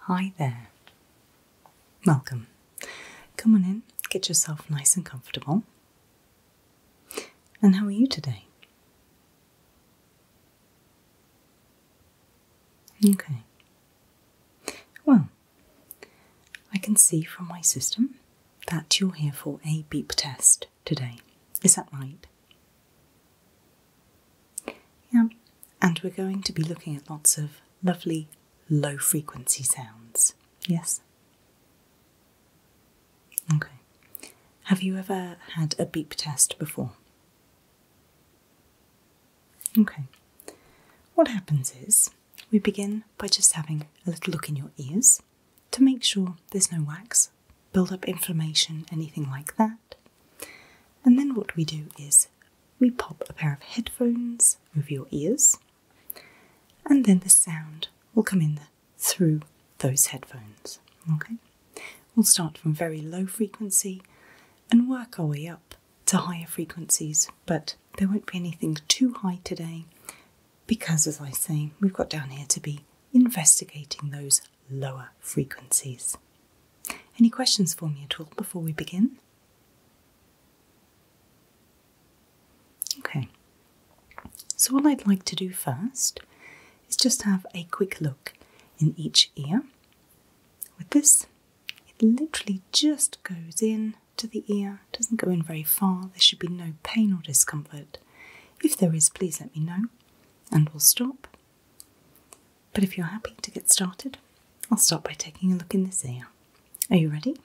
Hi there. Welcome. Come on in, get yourself nice and comfortable. And how are you today? Okay. Well, I can see from my system that you're here for a beep test today. Is that right? Yeah. And we're going to be looking at lots of lovely low frequency sounds. Yes? Okay. Have you ever had a beep test before? Okay. What happens is we begin by just having a little look in your ears to make sure there's no wax, build up inflammation, anything like that. And then what we do is we pop a pair of headphones over your ears, and then the sound will come in through those headphones. Okay? We'll start from very low frequency and work our way up to higher frequencies, but there won't be anything too high today because, as I say, we've got down here to be investigating those lower frequencies. Any questions for me at all before we begin? Okay, so what I'd like to do first is just have a quick look in each ear. With this, it literally just goes in to the ear, it doesn't go in very far. There should be no pain or discomfort. If there is, please let me know and we'll stop. But if you're happy to get started, I'll start by taking a look in this ear. Are you ready?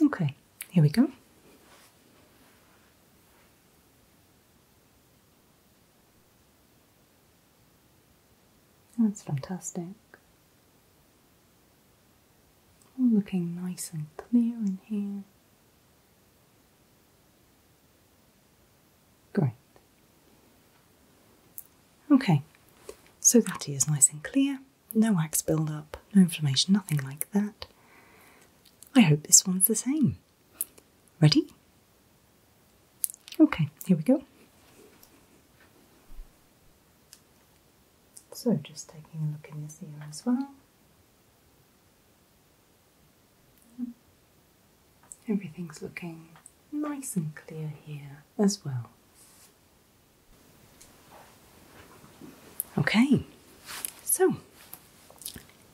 Okay, here we go. That's fantastic. All looking nice and clear in here. Great. Okay, so that is nice and clear, no wax buildup, no inflammation, nothing like that. I hope this one's the same. Ready? Okay, here we go. So, just taking a look in this ear as well. Everything's looking nice and clear here as well. Okay, so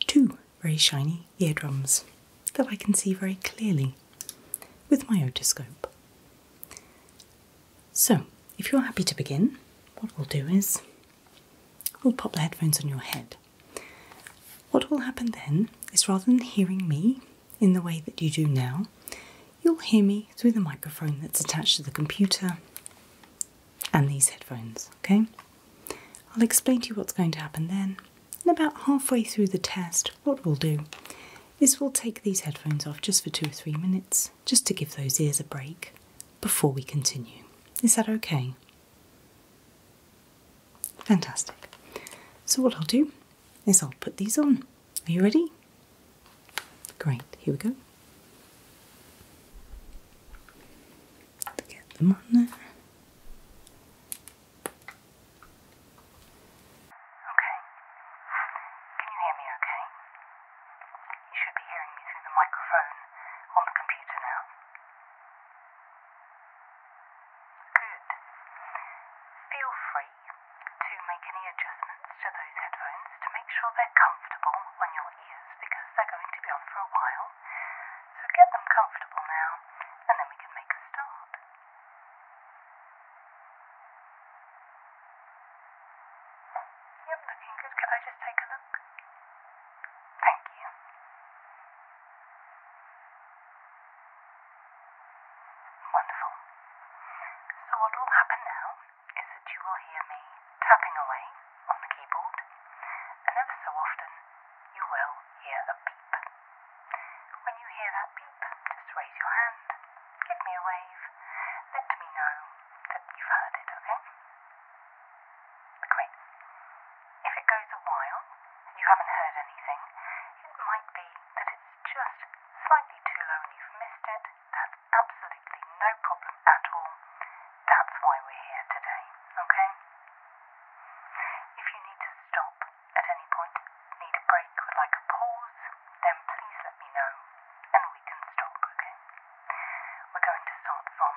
two very shiny eardrums that I can see very clearly with my otoscope. So, if you're happy to begin, what we'll do is we'll pop the headphones on your head what will happen then is rather than hearing me in the way that you do now, you'll hear me through the microphone that's attached to the computer and these headphones, okay? I'll explain to you what's going to happen then. And about halfway through the test, what we'll do is we'll take these headphones off just for two or three minutes, just to give those ears a break before we continue. Is that okay? Fantastic. So, what I'll do is I'll put these on. Are you ready? Great, here we go. Get them on Okay. Can you hear me okay? You should be hearing me through the microphone on the computer now. Good. Feel free to make any adjustments to those headphones to make sure they're comfortable on your ears because they're going to be on for a while. So get them comfortable now and then we can make a start. Yep, looking good. Can I just take a look? Thank you. Wonderful. So what will happen now is that you will hear me tapping away on the keyboard, and ever so often you will hear a beep. When you hear that beep, just raise your hand, give me a wave, let me know that you've heard it, okay? Great. If it goes a while and you haven't heard anything, it might be that it's just slightly too low and you've missed it. That's absolutely no problem at all. That's why we're here today, okay? If you need to stop at any point, need a break, would like a pause, then please let me know and we can stop, okay? We're going to start from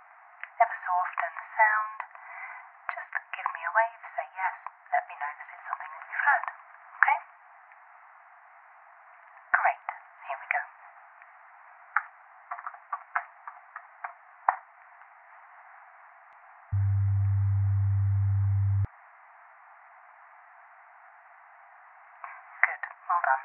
ever so often sound. Just give me a wave, say yes, let me know that it's something that you've heard. Okay? Great, here we go. Good, well done.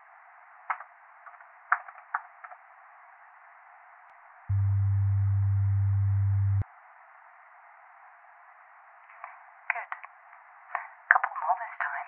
Good. Couple more this time.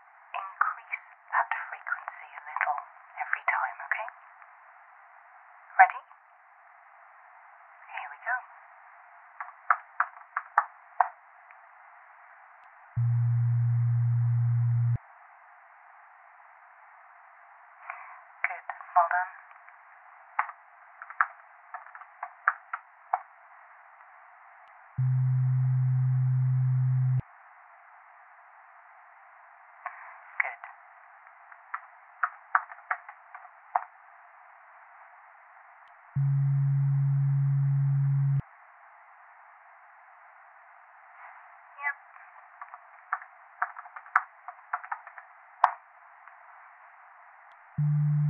increase that frequency a little every time, okay? Ready? Here we go. Good, well done. Good. Yep. Good.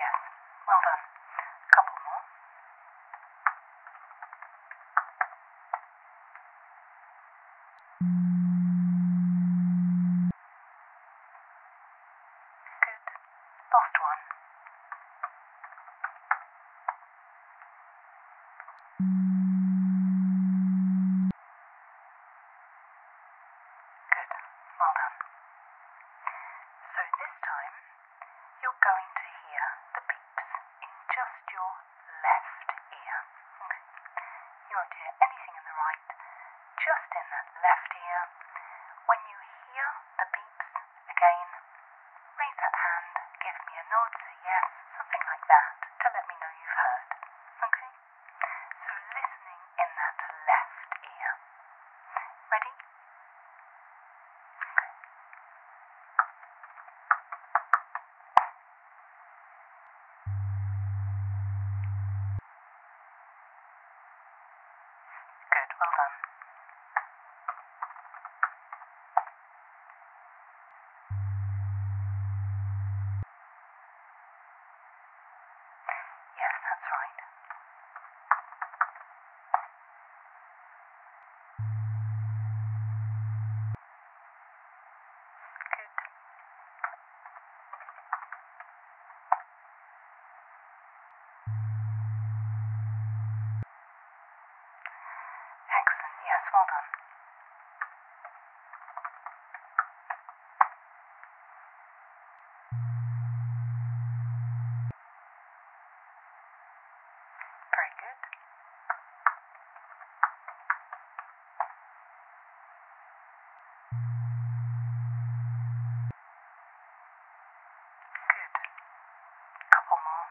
Yes. Well done. A couple more. Good. Last one. Good. Well done. So this time, you're going to hear the beeps in just your left ear. You won't hear anything in the right, just in that left ear. When you hear the beeps again, raise that hand, give me a nod, say yes, something like that, to let me know you've heard. Okay? So listening in that left ear. Ready? Good, well done. Yes, that's right. Good. Excellent. Yes, well done. Very good. Good. Couple more.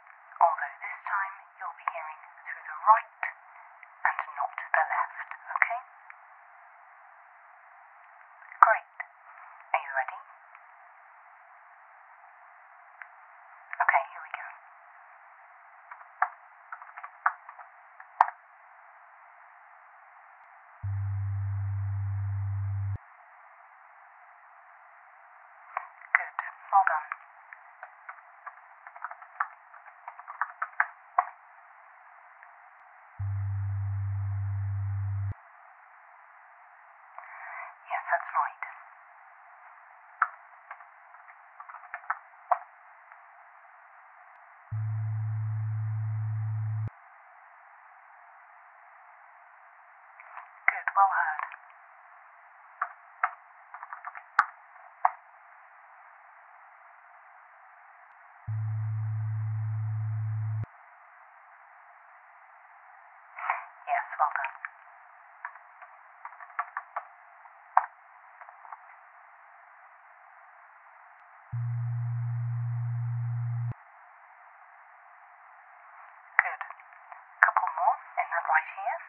Although this time you'll be hearing through the right and not the left, okay? Great. Are you ready? Okay, here we go. Good. Well done. Yes, that's right. Good, well heard. Yes, well done. Good. Couple more in that right here.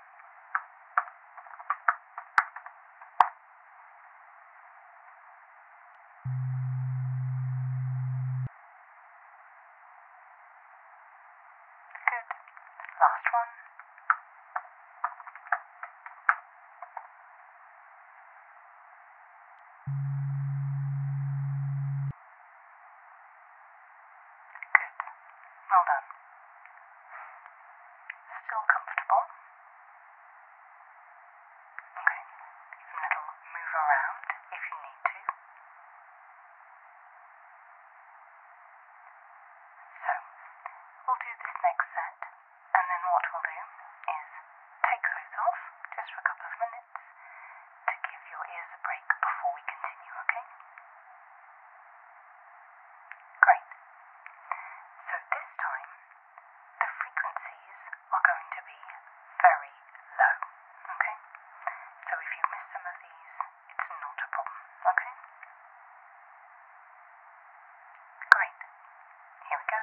Good. Last one. Good. Well done. Still comfortable? Okay. A little move around if you need to. So, we'll do this next set, and then what we'll do is take those off just for a couple of minutes to give your ears a break before we continue, okay? Great. So this time, the frequencies are going to be very low, okay? So if you miss some of these, it's not a problem, okay? Great. Here we go.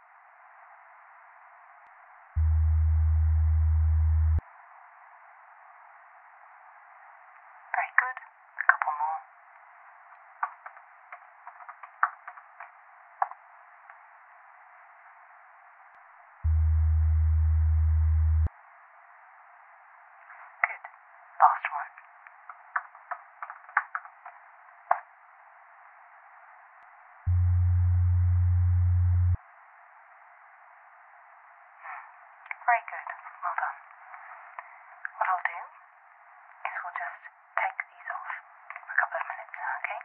Very good. A couple more. Good. Last one. Hmm. Very good. Well done. What I'll do is we'll just take these off for a couple of minutes okay?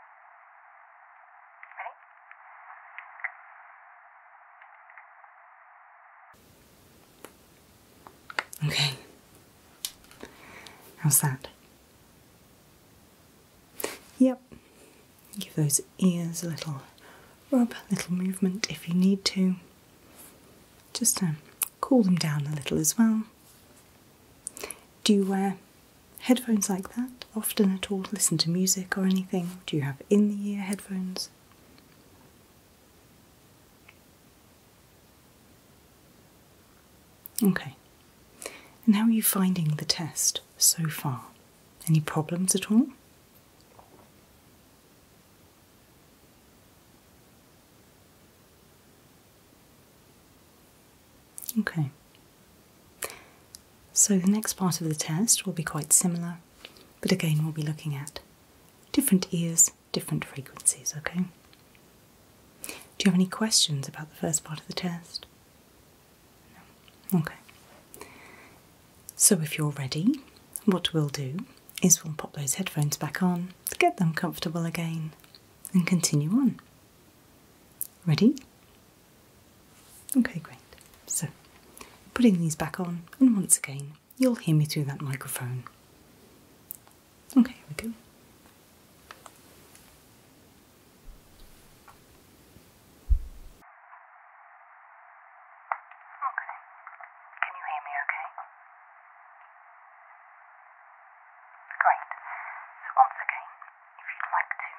Ready? Okay. How's that? Yep. Give those ears a little rub, a little movement if you need to, just to um, cool them down a little as well. Do you wear headphones like that often at all? Listen to music or anything? Do you have in the ear headphones? Okay, and how are you finding the test so far? Any problems at all? Okay. So the next part of the test will be quite similar, but again, we'll be looking at different ears, different frequencies, okay? Do you have any questions about the first part of the test? Okay. So if you're ready, what we'll do is we'll pop those headphones back on to get them comfortable again and continue on. Ready? Okay, great. So, putting these back on, and once again, you'll hear me through that microphone. Okay, here we go. Can you hear me okay? Great. So once again, if you'd like to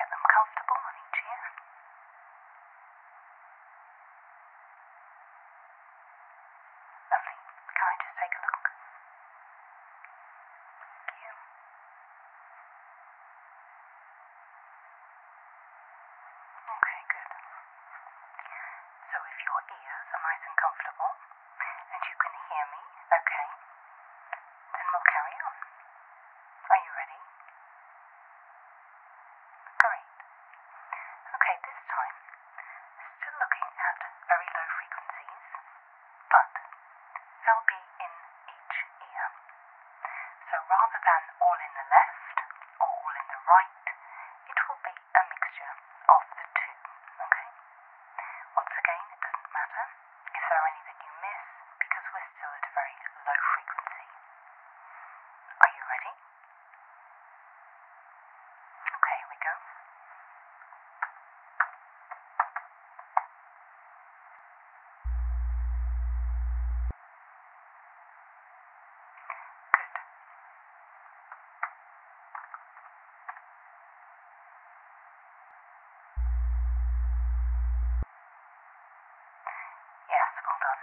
get them comfortable on each ear. Lovely. Can I just take a look? Thank you. Okay, good. So if your ears are nice and comfortable and you can hear me okay, then we'll carry on. Are you ready? Great. Okay, this time, still looking at very low frequencies, but they'll be in each ear. So rather than all in the left or all in the right, it will be a mixture of the two, okay? Once again, it doesn't matter if there are any that you miss because we're still at a very low frequency. Are you ready? Okay, here we go. Yes, well done.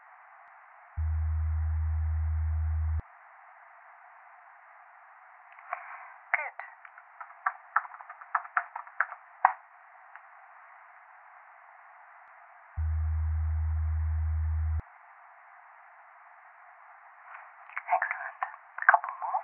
Good. Excellent. A couple more.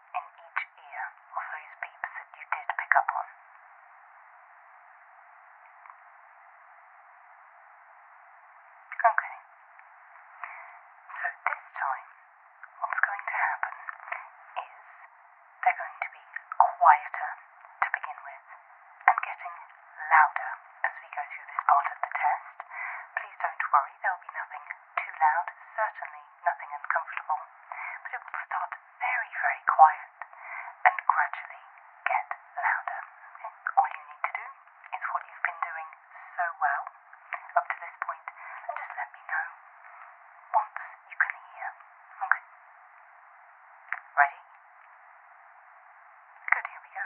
in each ear of those beeps that you did pick up on. Okay. So this time, what's going to happen is they're going to be quieter to begin with and getting louder as we go through this part of the test. Please don't worry, there'll be nothing too loud? Certainly nothing uncomfortable. But it will start very, very quiet and gradually get louder. All you need to do is what you've been doing so well up to this point and just let me know once you can hear. Okay? Ready? Good, here we go.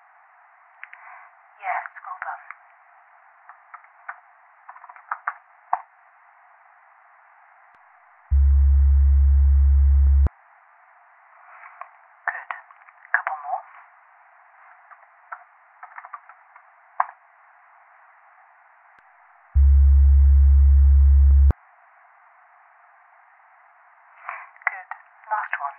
Yes, well done. Good. couple more. Good. Last one.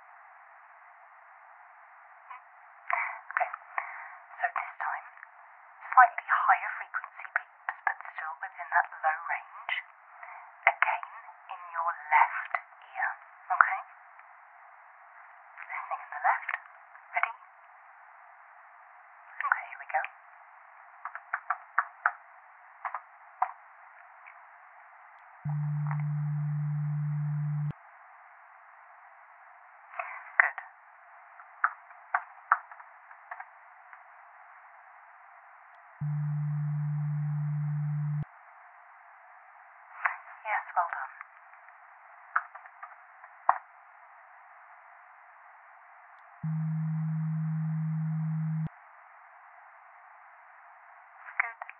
Good. So this time, slightly higher frequency beeps, but still within that low range. Again, in your left ear. Okay? Listening in the left. Ready? Okay, here we go. Good. Yes, well done. Good.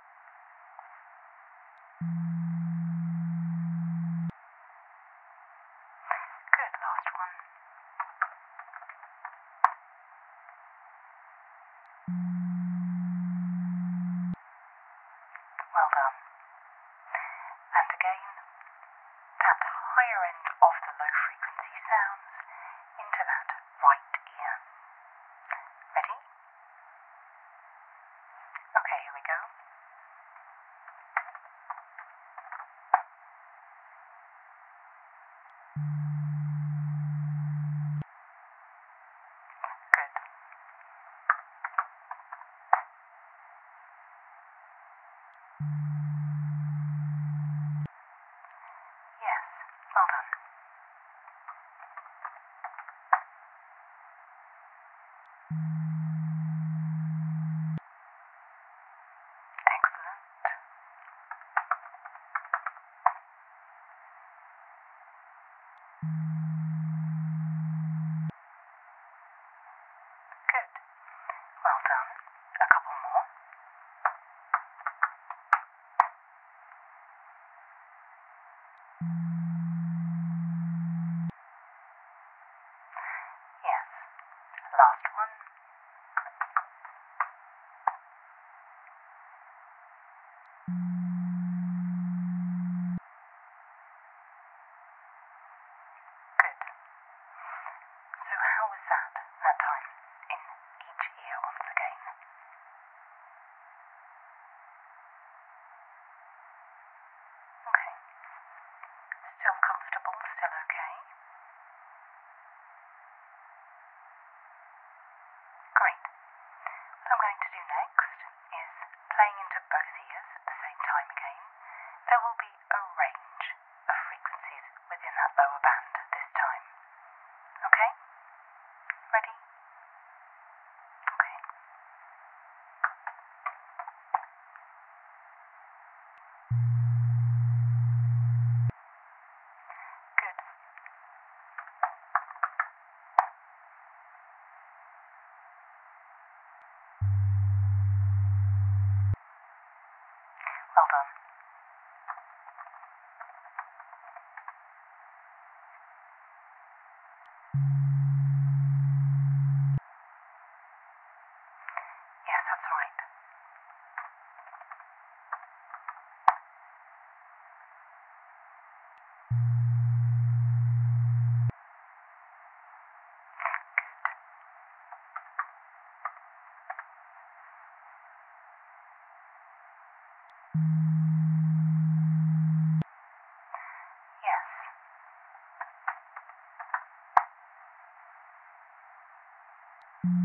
Good last one. Well done. And again, that higher end of the low frequency sounds into that right ear. Ready? Okay, here we go. Good. Yes, well done. Good. Well done. A couple more. Yes, last one. Good. So how was that, that time, in each ear once again? Okay. Still comfortable, still okay. Great. What I'm going to do next is playing into both ears at the same time again. There will be a range of frequencies within that lower band this time. Okay? Ready? Okay. Good. Well done. Yes, that's right. Good. Yes. Good.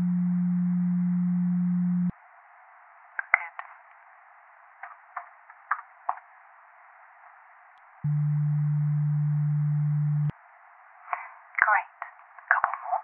Great. A couple more.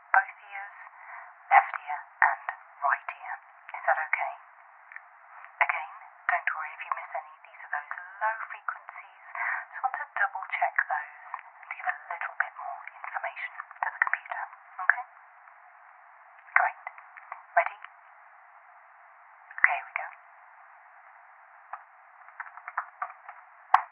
both ears, left ear and right ear. Is that okay? Again, don't worry if you miss any. These are those low frequencies. Just want to double check those and give a little bit more information to the computer. Okay? Great. Ready? Okay, we go.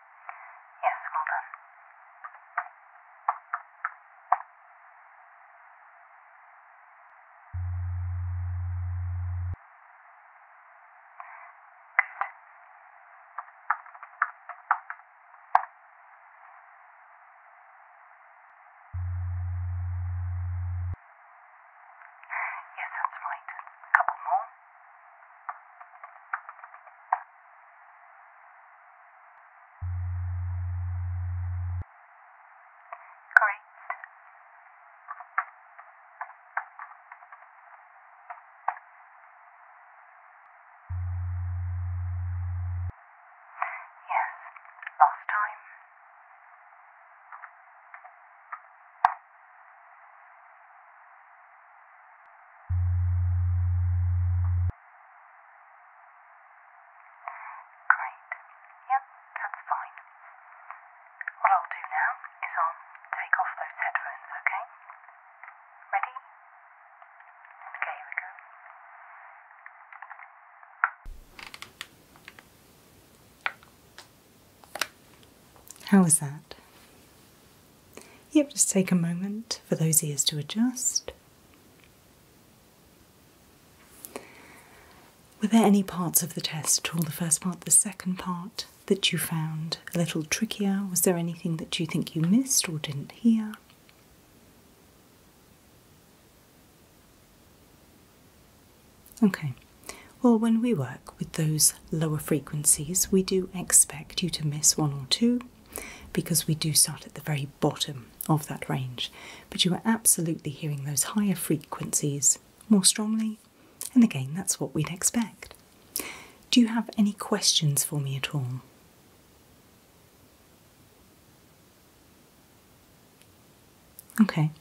Yes, well done. Yes, that's right. A couple Great. Yes, last time. Great. Yep, that's fine. What I'll do now is I'll take off those headphones, okay? Ready? Okay, here we go. How was that? Yep, just take a moment for those ears to adjust. Were there any parts of the test at all, the first part, the second part, that you found a little trickier? Was there anything that you think you missed or didn't hear? Okay, well, when we work with those lower frequencies, we do expect you to miss one or two, because we do start at the very bottom of that range. But you are absolutely hearing those higher frequencies more strongly, and again, that's what we'd expect. Do you have any questions for me at all? Okay,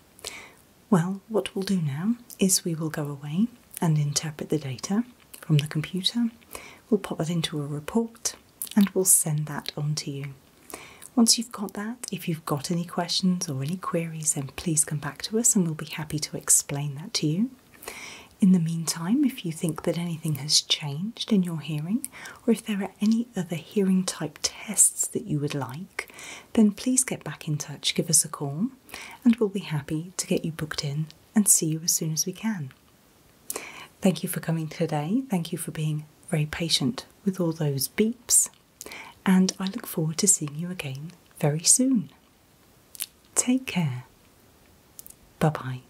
well, what we'll do now is we will go away and interpret the data from the computer. We'll pop that into a report and we'll send that on to you. Once you've got that, if you've got any questions or any queries, then please come back to us and we'll be happy to explain that to you. In the meantime, if you think that anything has changed in your hearing, or if there are any other hearing type tests that you would like, then please get back in touch, give us a call, and we'll be happy to get you booked in and see you as soon as we can. Thank you for coming today. Thank you for being very patient with all those beeps. And I look forward to seeing you again very soon. Take care. Bye bye.